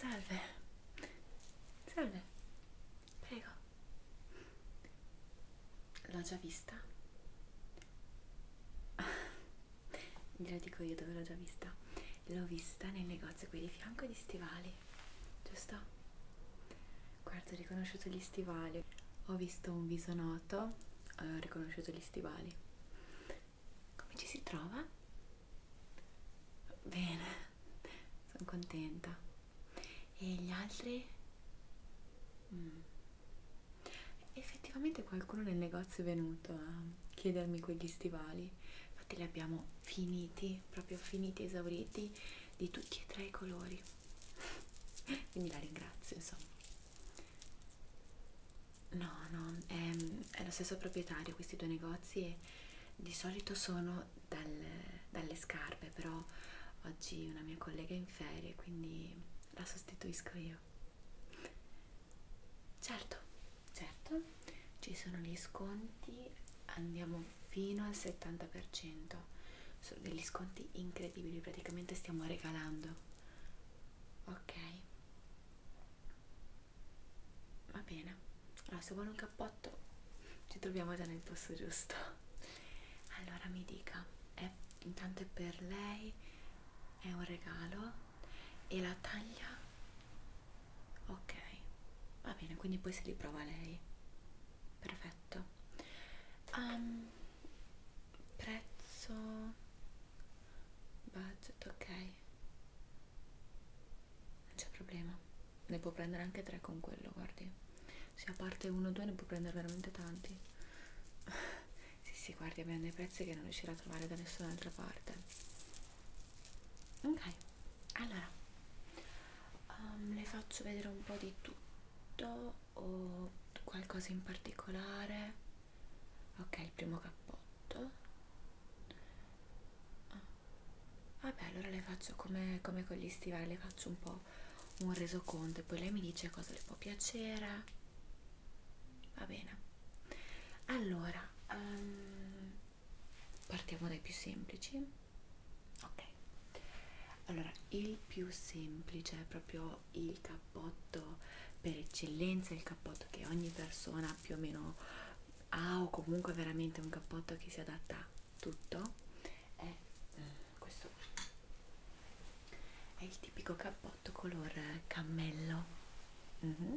Salve. Salve. Prego. L'ho già vista? Glielo dico io dove l'ho già vista. L'ho vista nel negozio qui di fianco di stivali stivali, giusto? Guarda, ho riconosciuto gli stivali. Ho visto un viso noto, ho riconosciuto gli stivali. Come ci si trova? Bene, sono contenta. E gli altri? Mm. Effettivamente qualcuno nel negozio è venuto a chiedermi quegli stivali. Infatti li abbiamo finiti, proprio finiti, esauriti di tutti e tre i colori. Quindi la ringrazio, insomma. No, no, è, è lo stesso proprietario questi due negozi e di solito sono dal, dalle scarpe, però oggi una mia collega è in ferie, quindi la sostituisco io. Certo certo ci sono gli sconti andiamo fino al 70% sono degli sconti incredibili praticamente stiamo regalando ok va bene allora se vuole un cappotto ci troviamo già nel posto giusto allora mi dica è, intanto è per lei è un regalo e la taglia ok va bene quindi poi se li prova lei perfetto um, prezzo budget ok non c'è problema ne può prendere anche tre con quello guardi se a parte uno o due ne può prendere veramente tanti sì sì guardi abbiamo dei prezzi che non riuscirà a trovare da nessun'altra parte ok allora um, le faccio vedere un po' di tutto o qualcosa in particolare ok il primo cappotto ah. vabbè allora le faccio come, come con gli stivali le faccio un po' un resoconto e poi lei mi dice cosa le può piacere va bene allora um, partiamo dai più semplici ok allora il più semplice è proprio il cappotto per eccellenza il cappotto che ogni persona più o meno ha o comunque veramente un cappotto che si adatta a tutto è eh, questo qui è il tipico cappotto color eh, cammello mm -hmm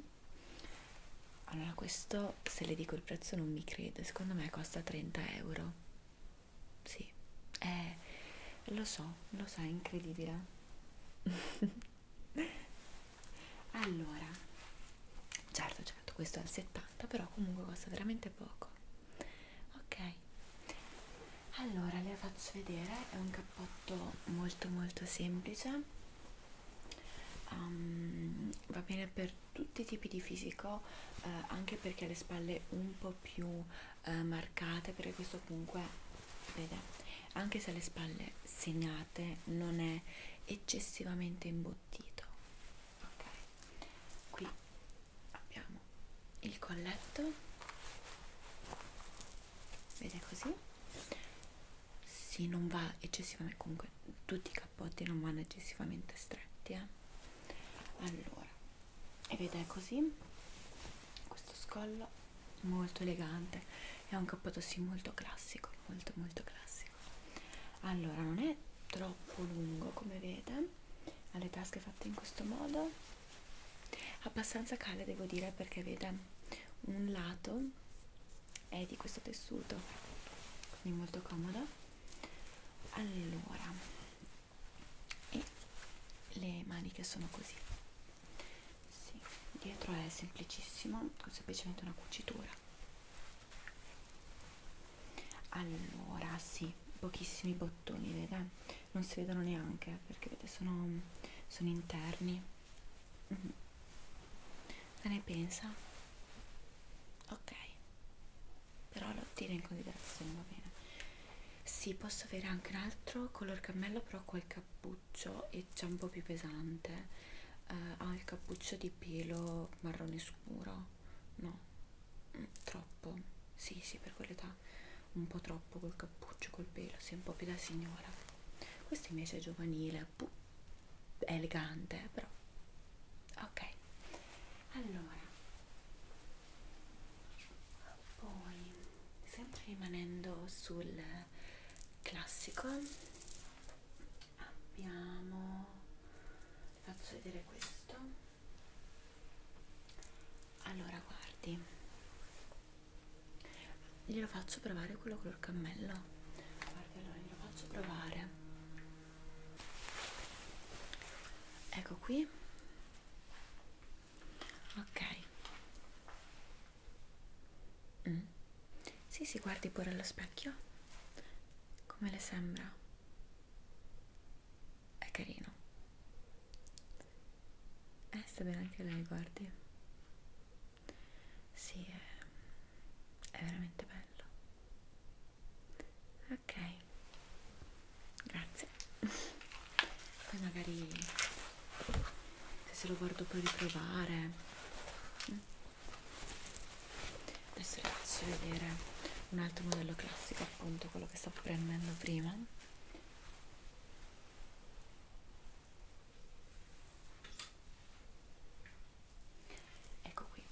allora questo se le dico il prezzo non mi crede secondo me costa 30 euro sì eh, lo so lo so è incredibile allora certo certo questo è al 70 però comunque costa veramente poco ok allora le faccio vedere è un cappotto molto molto semplice um, va bene per tutti i tipi di fisico eh, anche perché ha le spalle un po' più eh, marcate perché questo comunque vede anche se ha le spalle segnate non è eccessivamente imbottito ok qui abbiamo il colletto vede così si non va eccessivamente comunque tutti i cappotti non vanno eccessivamente stretti eh? allora e vedete così questo scollo molto elegante è un cappotto sì molto classico molto molto classico allora non è troppo lungo come vede ha le tasche fatte in questo modo abbastanza cale devo dire perché vede un lato è di questo tessuto quindi molto comodo allora e le maniche sono così sì, dietro è semplicissimo con semplicemente una cucitura allora sì pochissimi bottoni vede non si vedono neanche eh, perché vede sono, sono interni mm -hmm. cosa ne pensa ok però lo tiene in considerazione va bene sì posso avere anche un altro color cammello però col cappuccio è già un po' più pesante uh, ha il cappuccio di pelo marrone scuro no mm, troppo sì sì per quell'età un po' troppo col cappuccio col pelo si sì, è un po' più da signora questo invece è giovanile è elegante però ok allora poi sempre rimanendo sul classico abbiamo faccio vedere questo allora guardi glielo faccio provare quello color cammello guardi allora glielo faccio provare ecco qui ok mm. sì, si sì, guardi pure allo specchio come le sembra è carino eh sta bene anche lei guardi sì è, è veramente bello ok grazie poi magari se se lo guardo per riprovare adesso vi faccio vedere un altro modello classico appunto quello che stavo prendendo prima ecco qui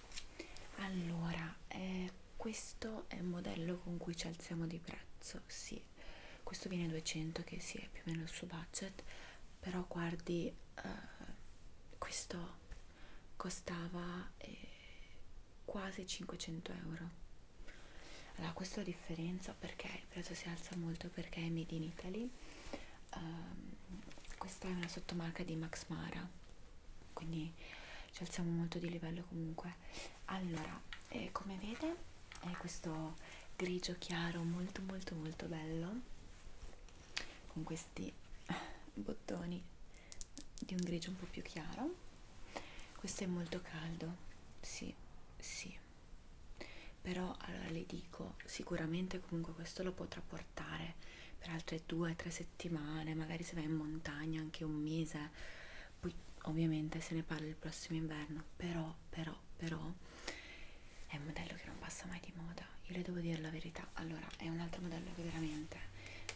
allora eh, questo è un modello con cui ci alziamo di prezzo sì questo viene 200 che sì è più o meno il suo budget però guardi eh, questo costava eh, quasi 500 euro allora questa è la differenza perché il prezzo si alza molto perché è made in Italy um, questa è una sottomarca di Max Mara quindi ci alziamo molto di livello comunque allora eh, come vede è questo grigio chiaro molto molto molto bello con questi bottoni di un grigio un po' più chiaro questo è molto caldo sì sì però allora le dico sicuramente comunque questo lo potrà portare portare per altre due o tre settimane, magari se vai in montagna anche un mese, poi ovviamente se ne parla il prossimo inverno, però, però, però è un modello che non passa mai di moda, io le devo dire la verità, allora è un altro modello che veramente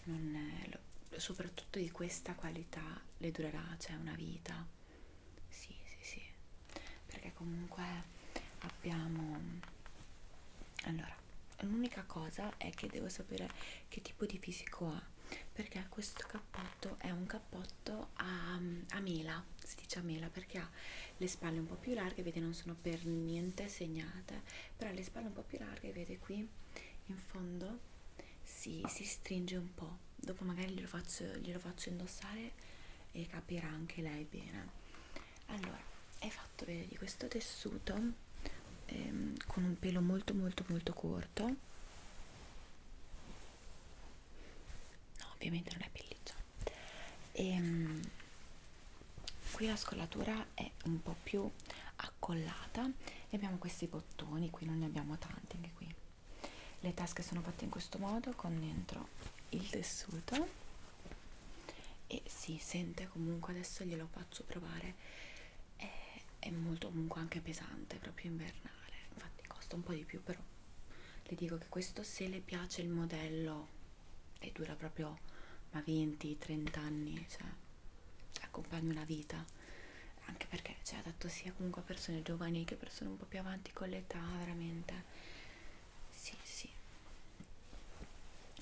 non lo, soprattutto di questa qualità le durerà, cioè una vita, sì, sì, sì, perché comunque abbiamo allora l'unica cosa è che devo sapere che tipo di fisico ha perché questo cappotto è un cappotto a, a mela si dice a mela perché ha le spalle un po' più larghe vede non sono per niente segnate però ha le spalle un po' più larghe vede qui in fondo si, si stringe un po' dopo magari glielo faccio, glielo faccio indossare e capirà anche lei bene allora è fatto bene eh, di questo tessuto ehm, con un pelo molto molto molto corto no ovviamente non è pelliccia ehm, qui la scollatura è un po' più accollata e abbiamo questi bottoni qui non ne abbiamo tanti anche qui le tasche sono fatte in questo modo con dentro il tessuto e si sente comunque adesso glielo faccio provare è, è molto comunque anche pesante proprio invernale infatti costa un po' di più però le dico che questo se le piace il modello e dura proprio ma 20-30 anni cioè accompagna una vita anche perché cioè adatto sia comunque a persone giovani che persone un po' più avanti con l'età veramente sì sì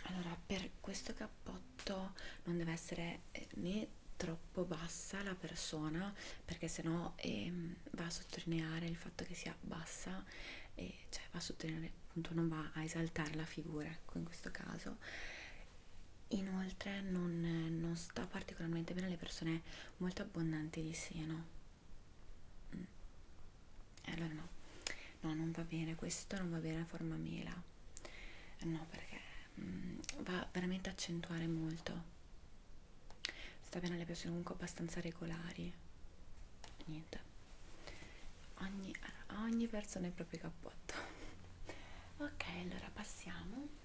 allora per questo cappotto sotto, non deve essere eh, né troppo bassa la persona perché sennò ehm, va a sottolineare il fatto che sia bassa e cioè va a sottolineare appunto non va a esaltare la figura ecco in questo caso inoltre non, non sta particolarmente bene alle persone molto abbondanti di seno mm. e allora no no non va bene questo non va bene a forma mela eh, no perché mm, va veramente a accentuare molto sta bene le persone comunque abbastanza regolari niente ogni, ogni persona ha il proprio cappotto ok allora passiamo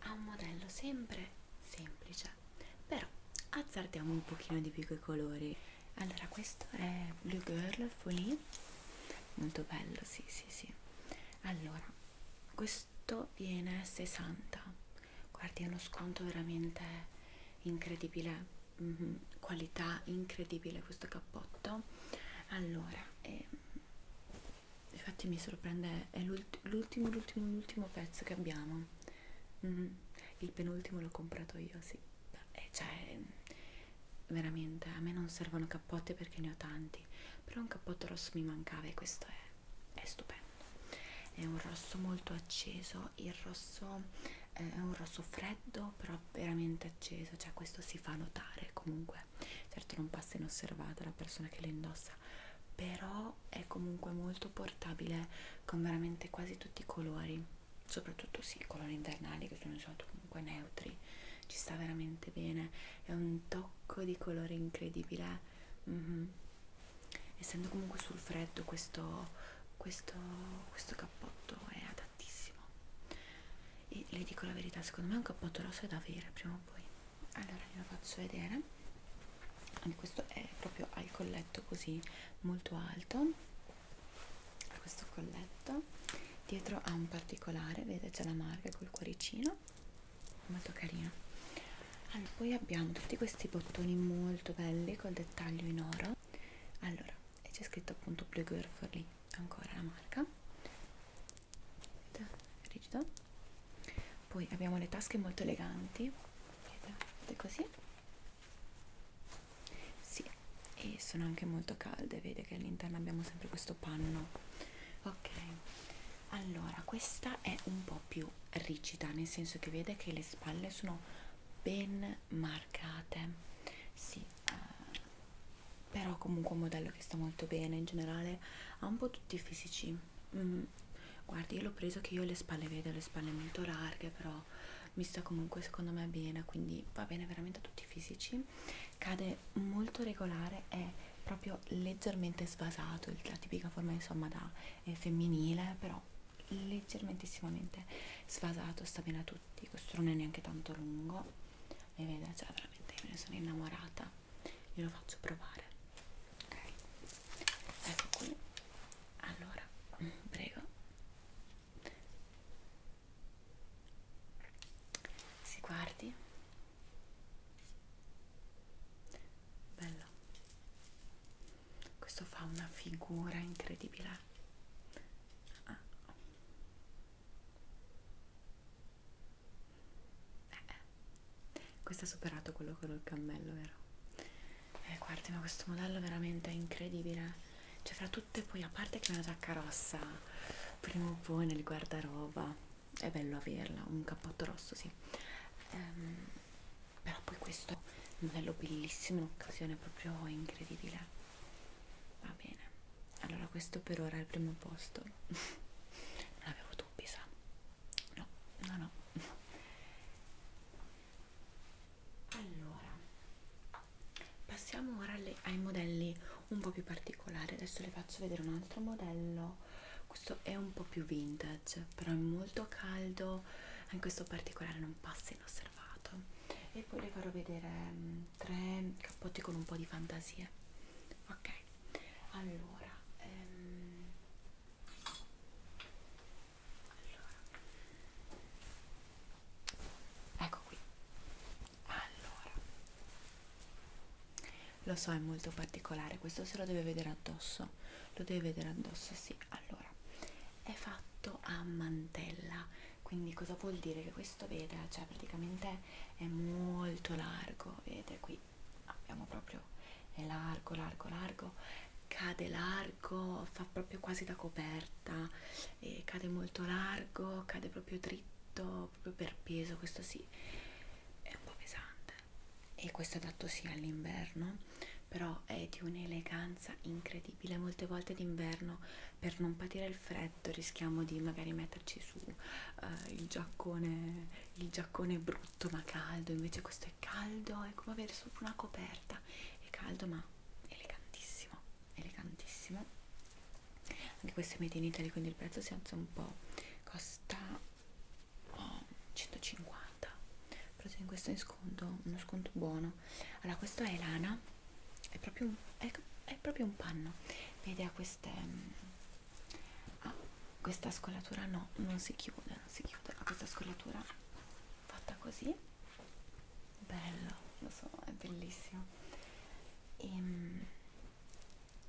a un modello sempre semplice però azzardiamo un pochino di più coi colori allora questo è Blue Girl Folie molto bello sì sì sì allora questo viene 60 guardi è uno sconto veramente incredibile mm -hmm. qualità incredibile questo cappotto allora eh, infatti mi sorprende è l'ultimo l'ultimo l'ultimo pezzo che abbiamo Mm, il penultimo l'ho comprato io, sì. E eh, cioè, veramente, a me non servono cappotti perché ne ho tanti, però un cappotto rosso mi mancava e questo è, è stupendo. È un rosso molto acceso, il rosso eh, è un rosso freddo, però veramente acceso, cioè questo si fa notare comunque. Certo non passa inosservata la persona che lo indossa, però però è comunque molto portabile con veramente quasi tutti i colori soprattutto sì, i colori invernali che sono di solito comunque neutri ci sta veramente bene è un tocco di colore incredibile mm -hmm. essendo comunque sul freddo questo, questo, questo cappotto è adattissimo e le dico la verità secondo me è un cappotto rosso è da avere prima o poi allora ve lo faccio vedere anche questo è proprio al colletto così molto alto a questo colletto dietro ha un particolare vedete c'è la marca col cuoricino molto carino allora, poi abbiamo tutti questi bottoni molto belli col dettaglio in oro allora e c'è scritto appunto Blue Girl for lì ancora la marca rigido poi abbiamo le tasche molto eleganti vedete così sì e sono anche molto calde vede che all'interno abbiamo sempre questo panno ok allora questa è un po' più rigida nel senso che vede che le spalle sono ben marcate sì eh, però comunque un modello che sta molto bene in generale ha un po' tutti i fisici mm, guardi io l'ho preso che io le spalle vedo le spalle molto larghe però mi sta comunque secondo me bene quindi va bene veramente a tutti i fisici cade molto regolare è proprio leggermente svasato la tipica forma insomma da eh, femminile però leggermentissimamente svasato sta bene a tutti questo non è neanche tanto lungo e vede cioè veramente io me ne sono innamorata glielo faccio provare ok ecco qui allora prego si guardi bello questo fa una figura incredibile ah. eh, eh. questo ha superato quello con il cammello vero eh, guardi ma questo modello veramente è incredibile cioè fra tutte poi a parte che una giacca rossa prima o poi nel guardaroba è bello averla un cappotto rosso sì ehm, però poi questo è un modello bellissimo un'occasione proprio incredibile va bene allora questo per ora è il primo posto non avevo dubbi sa no no no allora passiamo ora alle, ai modelli un po' più particolari adesso le faccio vedere un altro modello questo è un po' più vintage però è molto caldo in questo particolare non passa inosservato e poi le farò vedere um, tre cappotti con un po' di fantasia ok allora um, allora. Ecco qui. Allora. Lo so, è molto particolare, questo se lo deve vedere addosso. Lo deve vedere addosso, sì. Allora, è fatto a mantella. Quindi cosa vuol dire che questo veda? Cioè praticamente è molto largo, vede qui abbiamo proprio è largo, largo, largo, cade largo, fa proprio quasi da coperta, e cade molto largo, cade proprio dritto, proprio per peso, questo sì, è un po' pesante e questo è adatto sì all'inverno, però è di un'eleganza incredibile, molte volte d'inverno per non patire il freddo rischiamo di magari metterci su uh, il, giaccone, il giaccone brutto ma caldo, invece questo è caldo, è come avere sopra una coperta è caldo ma elegantissimo elegantissimo anche questo è made in Italy quindi il prezzo si alza un po' costa oh, 150 però in questo è in sconto uno sconto buono allora questo è lana è proprio un, è, è proprio un panno vede ha queste ha mm, questa scolatura no non si chiude non si chiude ha questa scolatura fatta così bello lo so è bellissimo e ehm,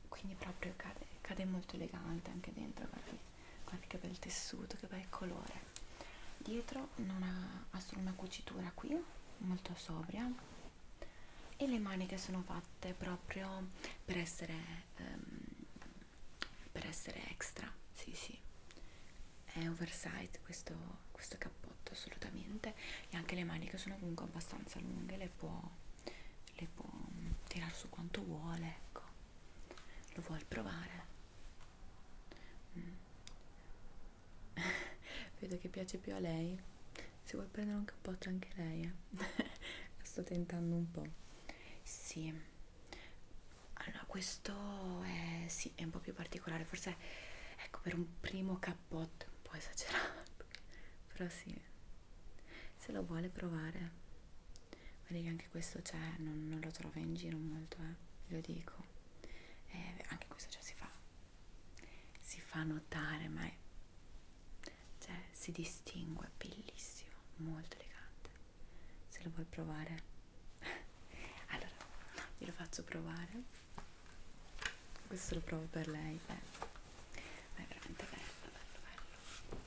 quindi proprio cade, cade molto elegante anche dentro guardi, guardi che bel tessuto che bel colore dietro non ha, ha solo una cucitura qui molto sobria e le maniche sono fatte proprio per essere ehm, per essere extra, sì sì, è oversize questo, questo cappotto assolutamente e anche le maniche sono comunque abbastanza lunghe, le può, le può mm, tirare su quanto vuole, ecco, lo vuole provare. Mm. Vedo che piace più a lei, se vuoi prendere un cappotto anche lei, eh. la sto tentando un po'. Sì allora questo è sì è un po' più particolare forse ecco per un primo cappotto un po' esagerato però sì se lo vuole provare vedi che anche questo c'è cioè, non, non lo trova in giro molto eh lo dico eh, anche questo cioè, si fa si fa notare ma è, cioè si distingue bellissimo molto elegante se lo vuoi provare allora glielo faccio provare questo lo provo per lei beh. ma è veramente bello bello bello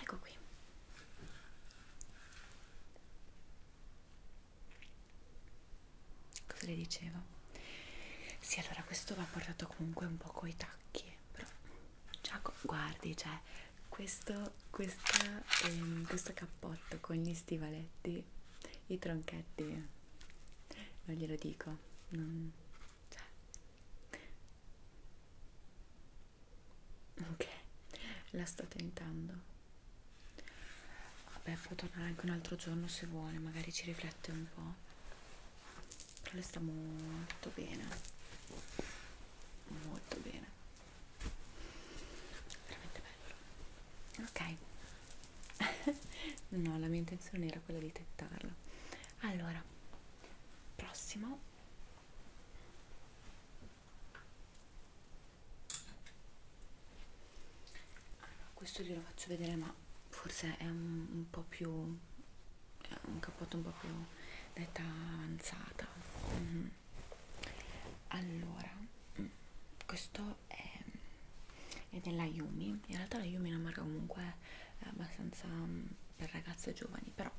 ecco qui cosa le dicevo? sì allora questo va portato comunque un po' coi tacchi però già guardi cioè questo, questa, ehm, questo cappotto con gli stivaletti, i tronchetti, non glielo dico, non... Cioè. Ok, la sto tentando. Vabbè, può tornare anche un altro giorno se vuole, magari ci riflette un po'. Però le sta molto bene. Molto bene veramente bello ok no la mia intenzione era quella di tettarlo allora prossimo allora, questo glielo faccio vedere ma forse è un, un po' più è un cappotto un po' più d'età avanzata mm -hmm allora questo è, è della Yumi in realtà la Yumi è una marca comunque eh, abbastanza mm, per ragazze giovani però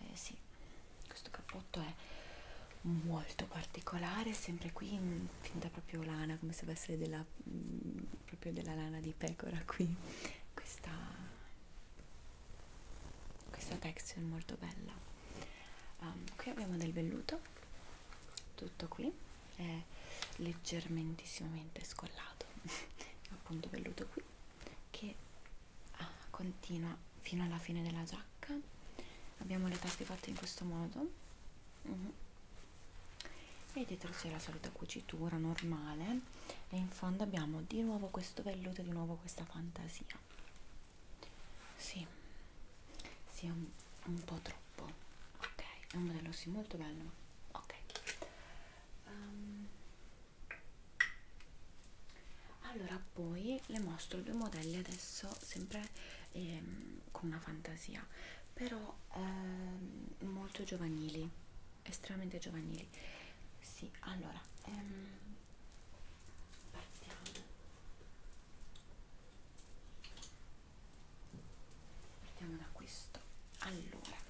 eh, sì questo cappotto è molto particolare sempre qui in mm, finta proprio lana come se fosse della mh, mm, proprio della lana di pecora qui questa questa texture molto bella um, qui abbiamo del velluto tutto qui è leggermentissimamente scollato appunto velluto qui che ah, continua fino alla fine della giacca abbiamo le tappe fatte in questo modo uh mhm. -huh. e dietro c'è la solita cucitura normale e in fondo abbiamo di nuovo questo velluto e di nuovo questa fantasia sì, sì, è un, un po' troppo. Ok, è un modello sì molto bello. Ok. Um, allora poi le mostro due modelli adesso sempre ehm, con una fantasia però ehm, molto giovanili estremamente giovanili sì allora ehm, partiamo partiamo da questo allora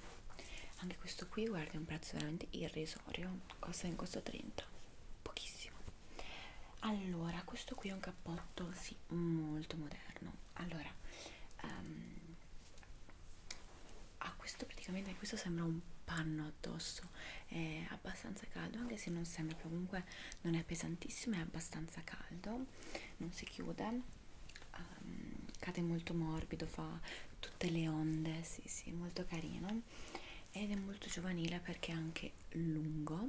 anche questo qui guarda è un prezzo veramente irrisorio costa in costo 30 pochissimo allora questo qui è un cappotto sì molto moderno allora um, a questo praticamente questo sembra un panno addosso adesso è abbastanza caldo anche se non sembra comunque non è pesantissimo è abbastanza caldo non si chiude um, cade molto morbido fa tutte le onde sì sì molto carino ed è molto giovanile perché è anche lungo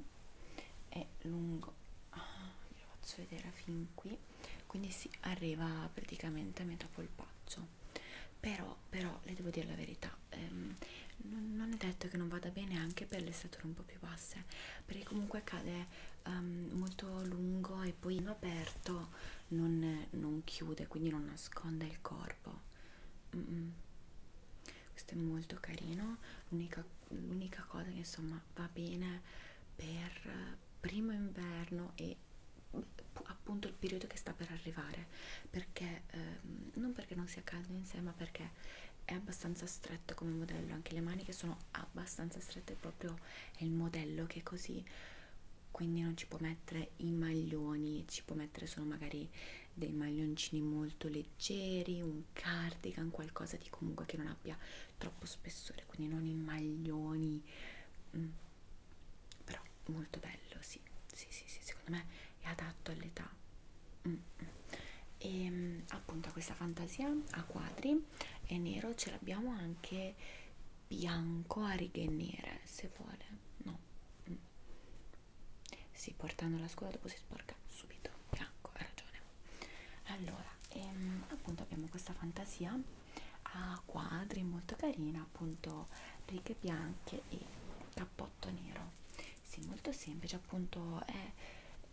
è lungo ah, ve lo faccio vedere fin qui quindi si arriva praticamente a metà polpaccio però però, però le devo dire la verità ehm, non, non è detto che non vada bene anche per le stature un po' più basse perché comunque cade um, ehm, molto lungo e poi in aperto non, non chiude quindi non nasconde il corpo mm -mm. questo è molto carino l'unica cosa che insomma va bene per primo inverno e appunto il periodo che sta per arrivare piacere perché ehm, non perché non sia caldo in sé ma perché è abbastanza stretto come modello anche le maniche sono abbastanza strette proprio è il modello che è così quindi non ci può mettere i maglioni ci può mettere solo magari dei maglioncini molto leggeri un cardigan qualcosa di comunque che non abbia troppo spessore quindi non i maglioni mm. però molto bello sì sì sì, sì secondo me è adatto all'età mm. mm. e ehm, appunto questa fantasia a quadri è nero ce l'abbiamo anche bianco a righe nere se vuole no mm. sì portando la scuola dopo si sporca subito bianco hai ragione allora ehm, appunto abbiamo questa fantasia a quadri molto carina appunto righe bianche e cappotto nero sì molto semplice appunto è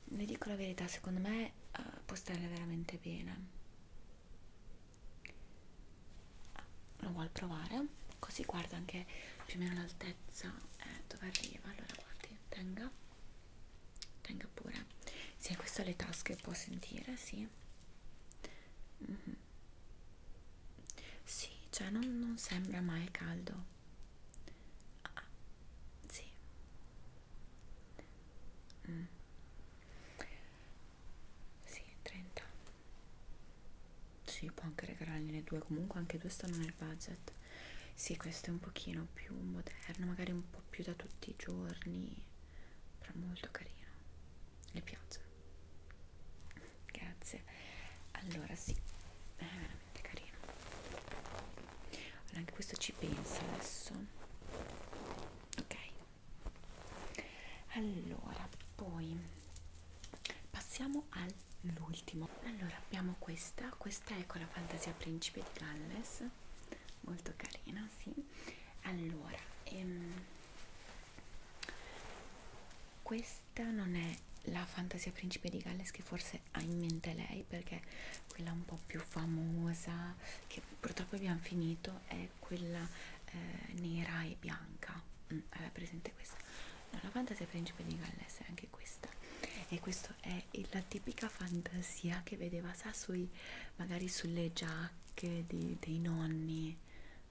vi dico la verità secondo me uh, può stare veramente bene ah, lo vuol provare così guarda anche più o meno l'altezza eh, dove arriva allora guardi tenga tenga pure sì questa le tasche può sentire sì mm -hmm. sì cioè non, non sembra mai caldo Ah, sì. Mm. Sì, 30. Sì, può anche regalargliene due, comunque anche due stanno nel budget. Sì, questo è un pochino più moderno, magari un po' più da tutti i giorni, però molto carino. Le piace grazie allora sì è veramente carino allora, anche questo ci penso adesso ok allora poi passiamo all'ultimo allora abbiamo questa questa è con la fantasia principe di Galles molto carina sì allora ehm, questa questa non è la fantasia principe di Galles che forse ha in mente lei perché quella un po' più famosa che purtroppo abbiamo finito è quella eh, nera e bianca mm, aveva presente questa no, la fantasia principe di Galles è anche questa e questa è la tipica fantasia che vedeva sa sui magari sulle giacche di, dei nonni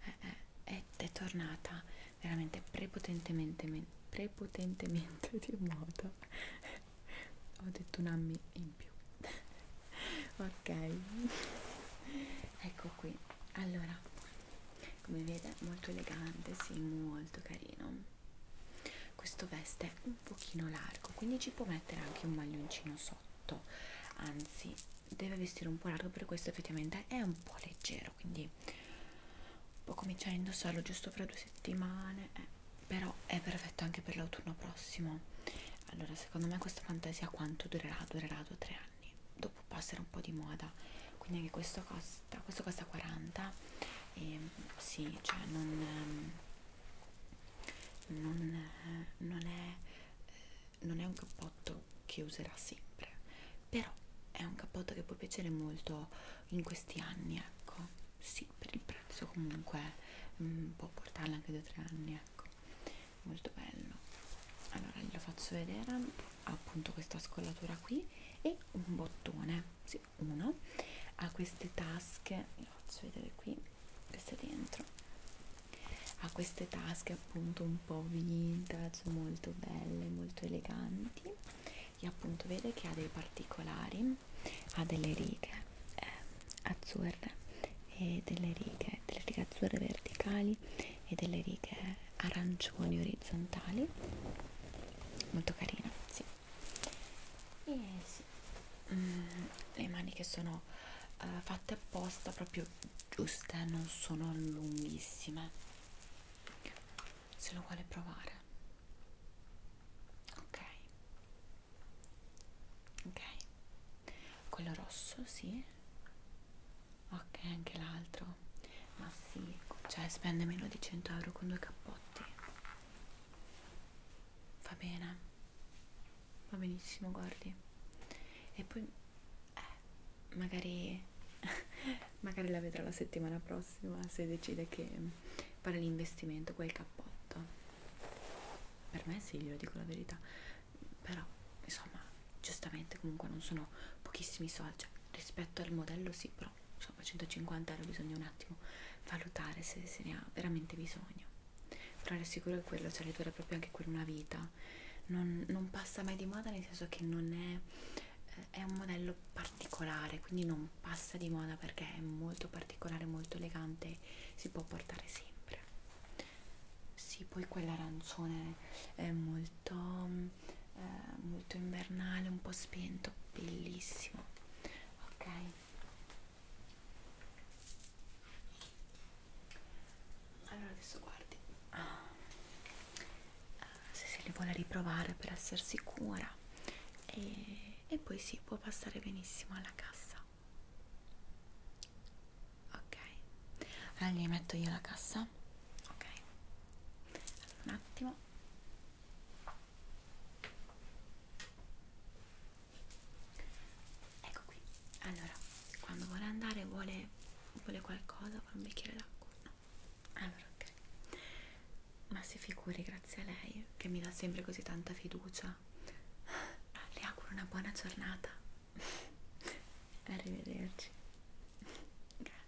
eh, eh, è, è tornata veramente prepotentemente prepotentemente di moda ho detto un anno in più ok ecco qui allora come vede molto elegante sì molto carino questo veste è un pochino largo quindi ci può mettere anche un maglioncino sotto anzi deve vestire un po' largo per questo effettivamente è un po' leggero quindi può cominciare a indossarlo giusto fra due settimane eh, però è perfetto anche per l'autunno prossimo allora secondo me questa fantasia quanto durerà? durerà 2-3 anni dopo passerà un po' di moda quindi anche questo costa, questo costa 40 e sì, cioè non, ehm, non, non, è, eh, non è un cappotto che userà sempre però è un cappotto che può piacere molto in questi anni ecco sì per il prezzo comunque mh, mm, può portarla anche 2-3 anni ecco molto bello allora glielo faccio vedere ha appunto questa scollatura qui e un bottone sì, uno ha queste tasche lo faccio vedere qui questa dentro ha queste tasche appunto un po' vintage molto belle molto eleganti e appunto vede che ha dei particolari ha delle righe eh, azzurre e delle righe, delle righe azzurre verticali e delle righe arancioni orizzontali molto carina sì. e sì. Mm, le maniche sono uh, fatte apposta proprio giuste non sono lunghissime se lo vuole provare ok ok quello rosso sì ok anche l'altro ma sì cioè spende meno di 100 euro con due cappotti va bene va benissimo guardi e poi eh, magari magari la vedrò la settimana prossima se decide che fare l'investimento quel cappotto per me sì glielo dico la verità però insomma giustamente comunque non sono pochissimi soldi cioè, rispetto al modello sì però insomma 150 euro bisogna un attimo valutare se se ne ha veramente bisogno però è sicuro che quello cioè le dura proprio anche quella una vita non, non passa mai di moda nel senso che non è è un modello particolare quindi non passa di moda perché è molto particolare molto elegante si può portare sempre sì poi quell'arancione è molto eh, molto invernale un po' spento bellissimo ok allora adesso guardi ah. Ah, se se li vuole riprovare per essere sicura e, e poi si sì, può passare benissimo alla cassa ok allora gli metto io la cassa ok allora, un attimo ecco qui allora quando vuole andare vuole vuole qualcosa vuole un bicchiere d'acqua no allora, ok. Ma si figuri, grazie a lei che mi dà sempre così tanta fiducia. Le auguro una buona giornata. Arrivederci. Grazie.